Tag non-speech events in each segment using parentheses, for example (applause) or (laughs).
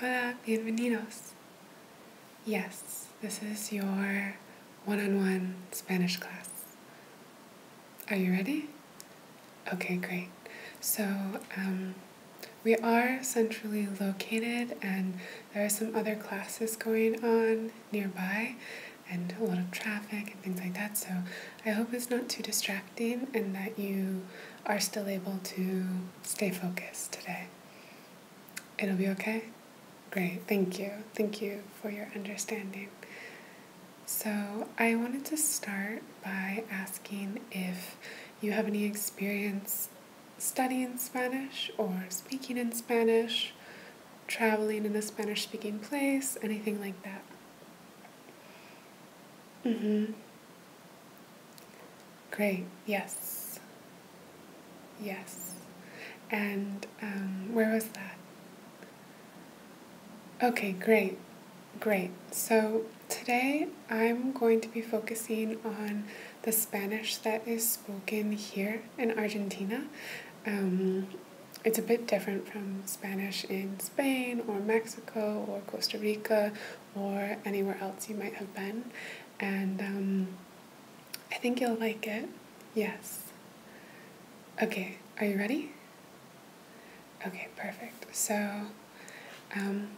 Hola, bienvenidos. Yes, this is your one on one Spanish class. Are you ready? Okay, great. So, um, we are centrally located, and there are some other classes going on nearby, and a lot of traffic and things like that. So, I hope it's not too distracting and that you are still able to stay focused today. It'll be okay? Great, thank you. Thank you for your understanding. So, I wanted to start by asking if you have any experience studying Spanish or speaking in Spanish, traveling in a Spanish speaking place, anything like that. Mm-hmm. Great, yes. Yes. And um, where was that? Okay, great, great. So today I'm going to be focusing on the Spanish that is spoken here in Argentina. Um, it's a bit different from Spanish in Spain or Mexico or Costa Rica or anywhere else you might have been. And um, I think you'll like it. Yes. Okay, are you ready? Okay, perfect. So, um,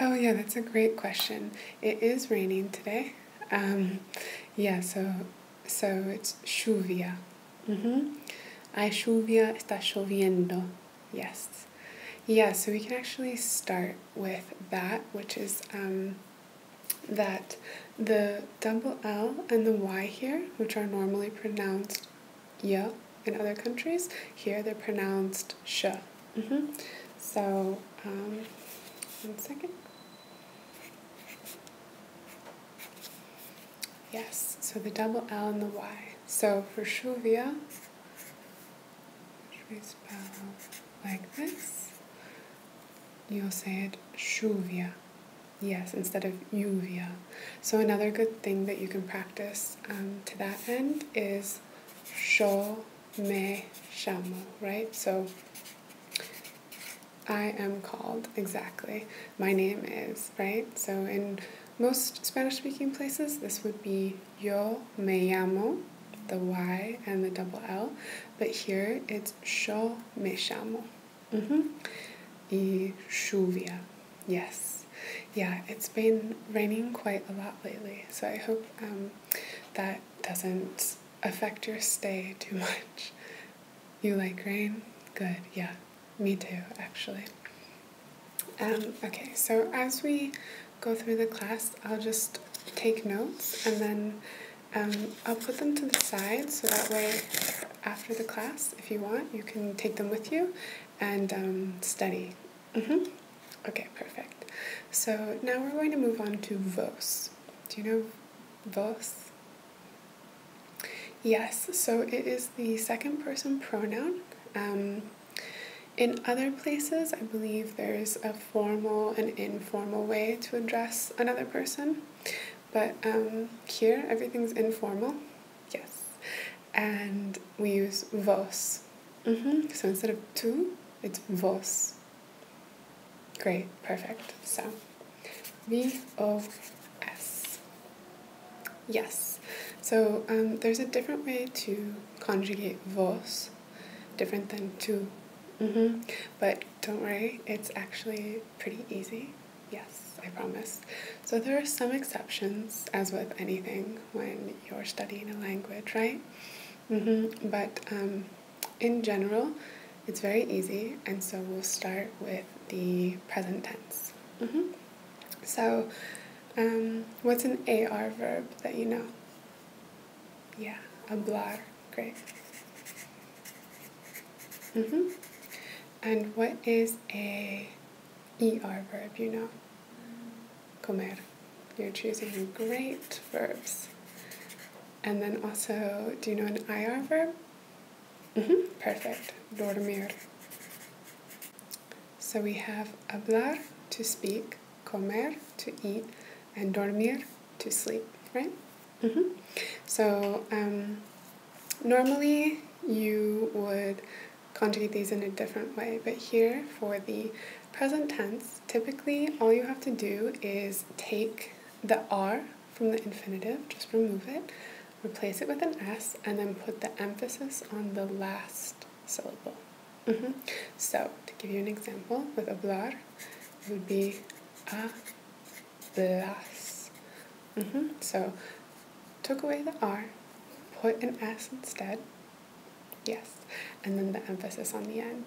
oh yeah, that's a great question. It is raining today. Um, yeah, so so it's chuvia. Mm-hmm. Hay lluvia, está choviendo. Yes. Yeah, so we can actually start with that, which is um, that the double L and the Y here, which are normally pronounced y in other countries, here they're pronounced sh. Mm -hmm. So, um, one second. Yes, so the double L and the Y. So for Shuvia, if you spell like this, you'll say it Shuvia. Yes, instead of Yuvia. So another good thing that you can practice um, to that end is Sho Me Shamo, right? So I am called, exactly. My name is, right? So in most Spanish speaking places, this would be yo me llamo, the Y and the double L, but here it's yo me llamo. Mm -hmm. Y lluvia, yes. Yeah, it's been raining quite a lot lately, so I hope um, that doesn't affect your stay too much. You like rain? Good, yeah, me too, actually. Um, okay, so as we go through the class, I'll just take notes and then um, I'll put them to the side so that way after the class, if you want, you can take them with you and um, study. Mm-hmm. Okay, perfect. So now we're going to move on to vos. Do you know vos? Yes, so it is the second person pronoun. Um, in other places, I believe there's a formal and informal way to address another person, but um, here everything's informal, yes, and we use vos. Mm-hmm. So instead of tu, it's vos. Great, perfect. So, V O S. Yes. So um, there's a different way to conjugate vos different than two. Mm-hmm. But don't worry, it's actually pretty easy. Yes, I promise. So there are some exceptions, as with anything when you're studying a language, right? Mm-hmm. But um, in general, it's very easy, and so we'll start with the present tense. Mm-hmm. So, um, what's an AR verb that you know? Yeah, hablar. Great. Mm-hmm. And what is a ER verb, you know? Comer. You're choosing great verbs. And then also, do you know an IR verb? Mm-hmm. Perfect. Dormir. So we have hablar to speak, comer to eat, and dormir to sleep, right? Mm -hmm. So um, normally you would conjugate these in a different way, but here for the present tense, typically all you have to do is take the R from the infinitive, just remove it, replace it with an S, and then put the emphasis on the last syllable. Mm -hmm. So, to give you an example, with hablar, it would be hablas. Mm -hmm. So, took away the R, put an S instead. Yes. And then the emphasis on the end.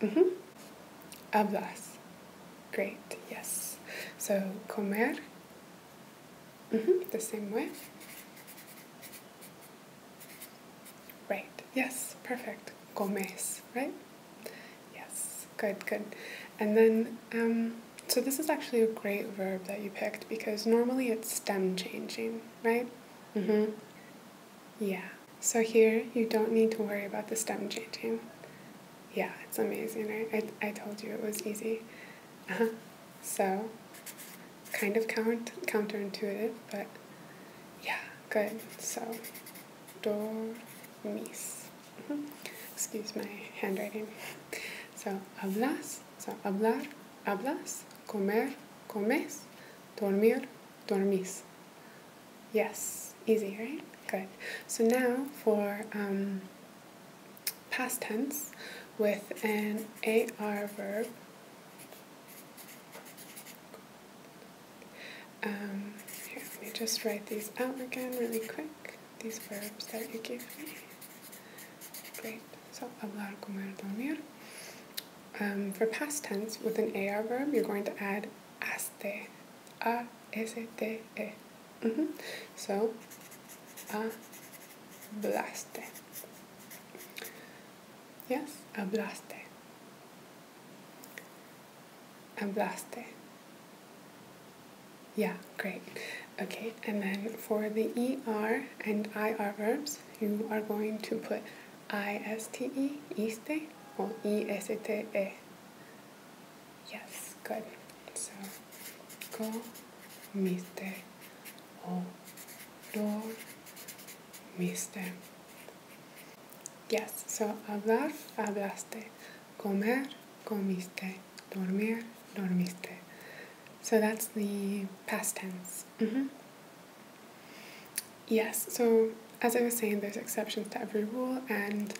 Mm -hmm. Hablas. Great. Yes. So, comer. Mm -hmm. The same way. Right, yes, perfect. Gomez, right? Yes, good, good. And then, um, so this is actually a great verb that you picked because normally it's stem changing, right? Mm-hmm. Yeah. So here, you don't need to worry about the stem changing. Yeah, it's amazing, right? I, I told you it was easy. Uh-huh. So, kind of count counterintuitive, but yeah, good. So, dormis. Mm-hmm. Excuse my handwriting. So, hablas. So, hablar, hablas. Comer, comes. Dormir, dormís. Yes, easy, right? Good. So now for um, past tense with an AR verb um, let me just write these out again really quick, these verbs that you gave me. Great. So, hablar, comer, dormir. Um, for past tense, with an AR verb, you're going to add aste. A S T E. Mm-hmm. So, a Yes, hablaste. Hablaste. Yeah, great. Okay, and then for the ER and IR verbs, you are going to put ISTE, iste, or ESTE. Yes, good. So, or do comiste. Yes, so hablar, hablaste. Comer, comiste. Dormir, dormiste. So that's the past tense. Mm-hmm. Yes, so as I was saying, there's exceptions to every rule, and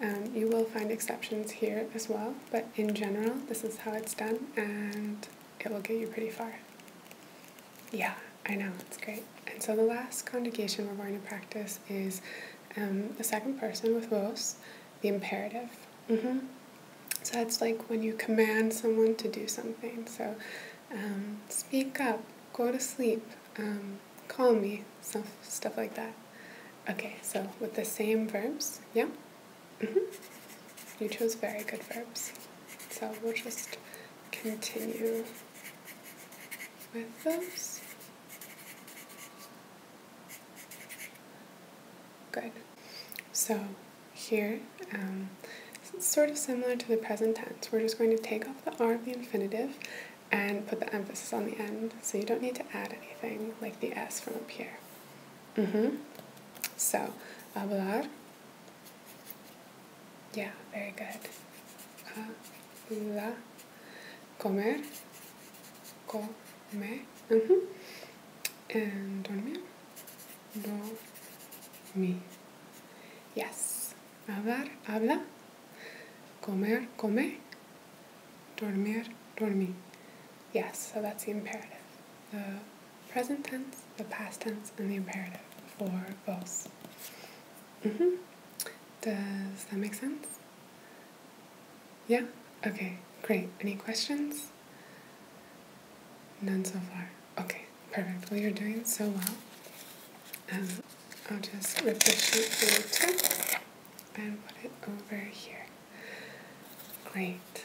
um, you will find exceptions here as well, but in general, this is how it's done, and it will get you pretty far. Yeah, I know, it's great. And so the last conjugation we're going to practice is um, the second person with vos, the imperative. Mm-hmm. So that's like when you command someone to do something. So um, speak up, go to sleep, um, call me, stuff, stuff like that. Okay, so with the same verbs, yeah? Mm-hmm. You chose very good verbs. So we'll just continue with those. Good. So here, um, it's sort of similar to the present tense. We're just going to take off the R of the infinitive and put the emphasis on the end, so you don't need to add anything like the S from up here. Mm-hmm. So, hablar, yeah, very good. Ayuda. Uh, comer. comer. Mm -hmm. And dormir. Dormir. Yes. Abar, abla. Comer. comer. Dormir. Dormir. Yes, so that's the imperative the present tense, the past tense, and the imperative for both. Mm-hmm. Does that make sense? Yeah? Okay, great. Any questions? None so far. Okay, perfect. Well, you're doing so well. Um, I'll just rip the sheet for and put it over here. Great.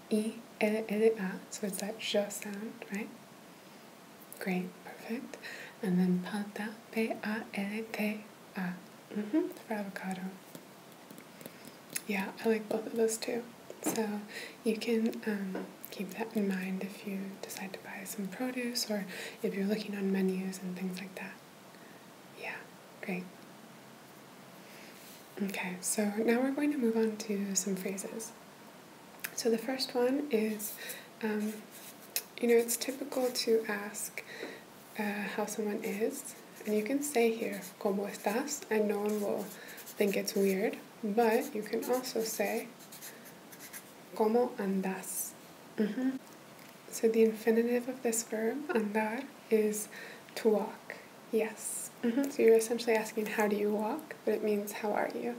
E, L, L, A. So it's that sh sound, right? Great, perfect. And then palta, P, A, L, T, A. Mm-hmm, for avocado. Yeah, I like both of those too. So you can um, keep that in mind if you decide to buy some produce or if you're looking on menus and things like that. Yeah, great. Okay, so now we're going to move on to some phrases. So the first one is, um, you know, it's typical to ask uh, how someone is, and you can say here, ¿Cómo estás? And no one will think it's weird, but you can also say, ¿Cómo andas? Mm-hmm. So the infinitive of this verb, andar, is to walk. Yes. Mm-hmm. So you're essentially asking, how do you walk? But it means, how are you?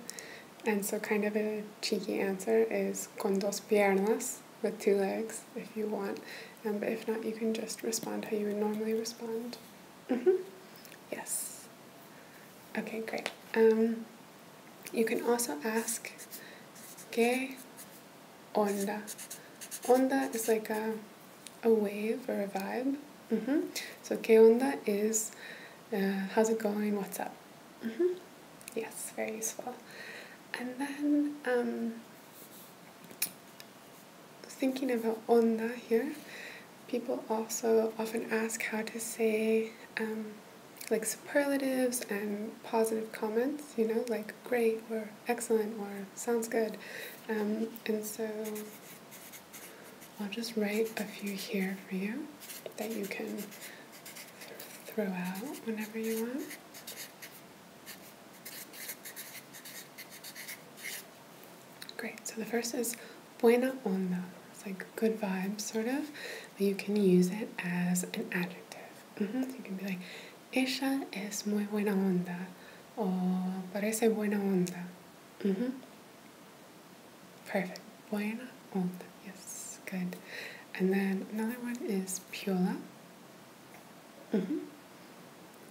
And so, kind of a cheeky answer is con dos piernas, with two legs, if you want. Um, but if not, you can just respond how you would normally respond. Mm-hmm. Yes. Okay, great. Um, you can also ask, ¿Qué onda? Onda is like a a wave or a vibe. Mm-hmm. So, que is uh, how's it going, what's up. Mm-hmm. Yes, very useful. And then um, thinking about onda here, people also often ask how to say um, like superlatives and positive comments, you know, like great or excellent or sounds good. Um, and so I'll just write a few here for you that you can throw out whenever you want. Great, so the first is buena onda. It's like good vibes, sort of. You can use it as an adjective. Mm-hmm. you can be like, ella es muy buena onda, or parece buena onda. Mm-hmm. Perfect. Buena onda. Yes, good. And then another one is piola. Mm-hmm.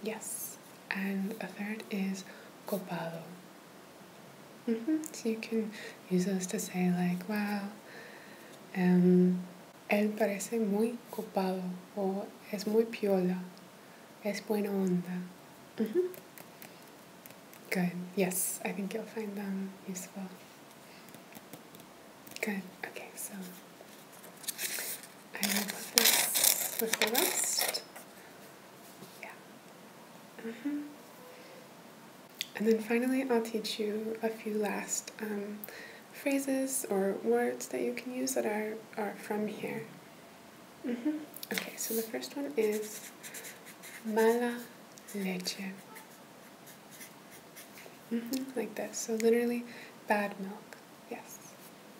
Yes. And a third is copado. Mm-hmm. So you can use those to say like, wow, um, él parece muy copado, o es muy piola, es buena onda, Mm-hmm. Good. Yes, I think you'll find them useful. Good. Okay, so Yeah. Mm-hmm. And then finally, I'll teach you a few last um, phrases or words that you can use that are, are from here. Mm -hmm. Okay, so the first one is mala leche. Mm -hmm, like this. So literally, bad milk. Yes.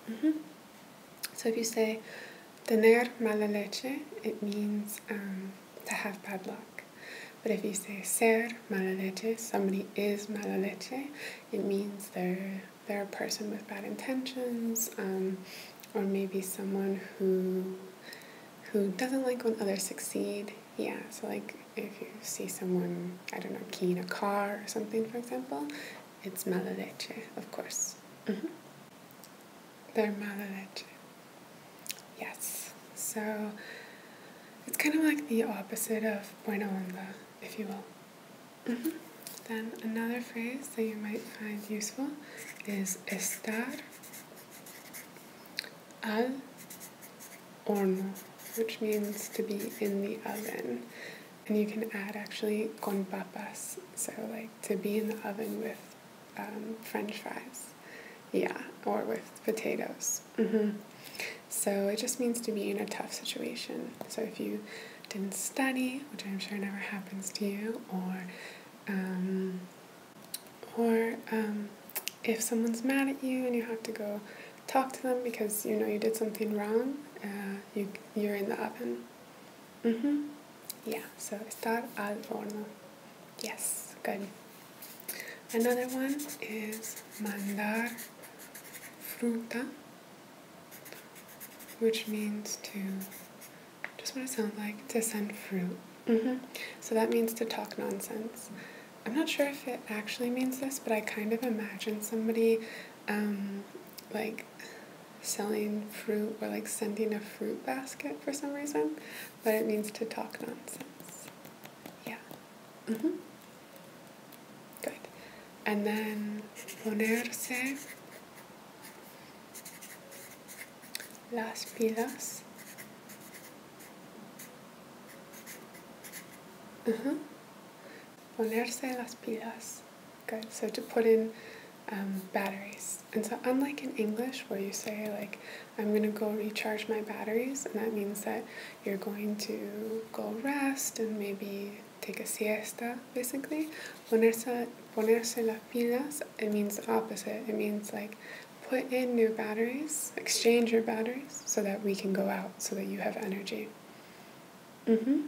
Mm -hmm. So if you say tener mala leche, it means um, to have bad luck. But if you say ser mala leche, somebody is mala leche, it means they're, they're a person with bad intentions. Um, or maybe someone who who doesn't like when others succeed. Yeah, so like if you see someone, I don't know, keying a car or something, for example, it's mala of course. Mm-hmm. They're mala Yes. So it's kind of like the opposite of buena onda, if you will. Mm-hmm. Then another phrase that you might find useful is estar al horno, which means to be in the oven. And you can add actually con papas, so like to be in the oven with um, french fries. Yeah, or with potatoes. Mm-hmm. So it just means to be in a tough situation. So if you didn't study, which I'm sure never happens to you, or um, or um, if someone's mad at you and you have to go talk to them because you know you did something wrong, uh, you, you're in the oven. Mm-hmm. Yeah, so estar al horno. Yes, good. Another one is mandar fruta, which means to just what it sounds like to send fruit. Mm-hmm. So that means to talk nonsense. I'm not sure if it actually means this, but I kind of imagine somebody um, like selling fruit or like sending a fruit basket for some reason, but it means to talk nonsense. Yeah. Mm-hmm. Good. And then ponerse las pilas. Uh -huh. Ponerse las pilas. Good. So to put in um, batteries. And so, unlike in English, where you say, like, I'm going to go recharge my batteries, and that means that you're going to go rest and maybe take a siesta, basically, Ponerse, ponerse las pilas, it means opposite. It means like put in new batteries, exchange your batteries so that we can go out, so that you have energy. Mm-hmm.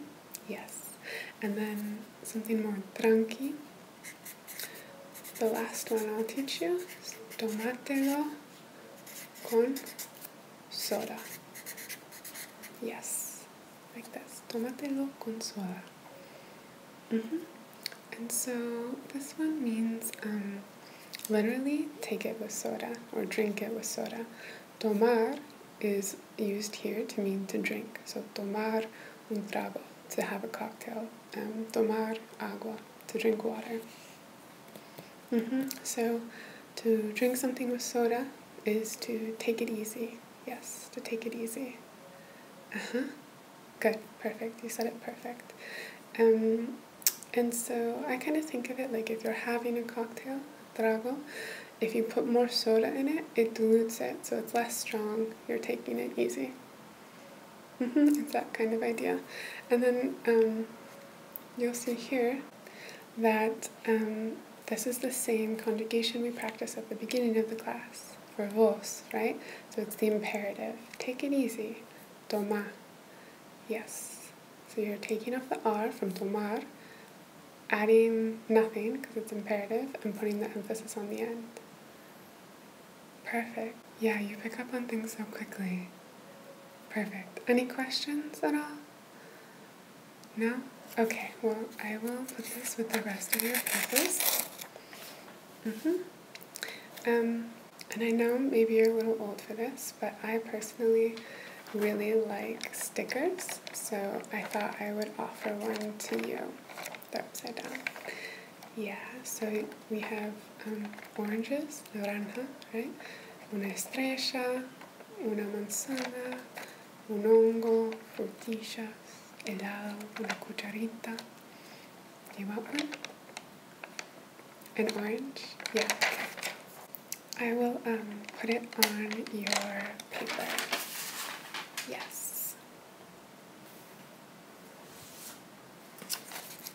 Yes. And then something more tranqui. The last one I'll teach you is tomátelo con soda. Yes like this. Tómatelo con suave. Mm -hmm. And so this one means um, literally take it with soda or drink it with soda. Tomar is used here to mean to drink. So tomar un trago, to have a cocktail. Um, tomar agua, to drink water. Mm -hmm. So to drink something with soda is to take it easy, Yes, to take it easy. Uh huh. Good, perfect. You said it perfect. Um, and so I kind of think of it like if you're having a cocktail, trago, if you put more soda in it, it dilutes it so it's less strong. You're taking it easy. Mm-hmm, it's that kind of idea. And then um, you'll see here that um, this is the same conjugation we practice at the beginning of the class for vos, right? So it's the imperative. Take it easy. Toma. Yes. So you're taking off the R from tomar, adding nothing because it's imperative, and putting the emphasis on the end. Perfect. Yeah, you pick up on things so quickly. Perfect. Any questions at all? No? Okay, well, I will put this with the rest of your papers. Mm-hmm. Um, and I know maybe you're a little old for this, but I personally really like stickers, so I thought I would offer one to you. They're upside down. Yeah, so we have um, oranges, naranja, right? Una estrella, una manzana, un hongo, frutillas helado, una cucharita. You want one? An orange? Yeah, I will um, put it on your paper. Yes.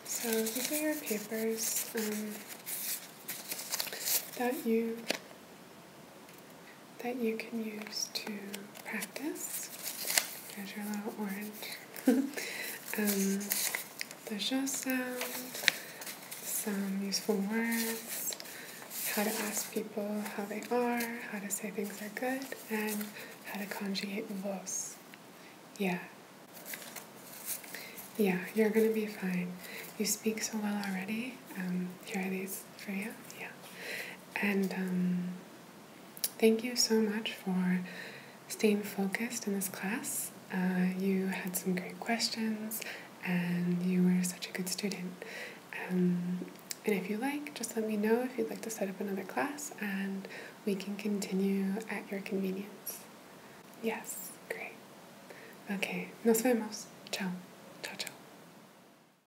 So these are your papers um, that you that you can use to practice. There's your little orange. (laughs) Um, there's the just sound, some useful words, how to ask people how they are, how to say things are good, and how to conjugate vos. Yeah. Yeah, you're gonna be fine. You speak so well already. Um, here are these for you. Yeah. And um, thank you so much for staying focused in this class. Uh, you had some great questions, and you were such a good student. Um, and if you like, just let me know if you'd like to set up another class, and we can continue at your convenience. Yes, great. Okay, nos vemos. Ciao, ciao, chao.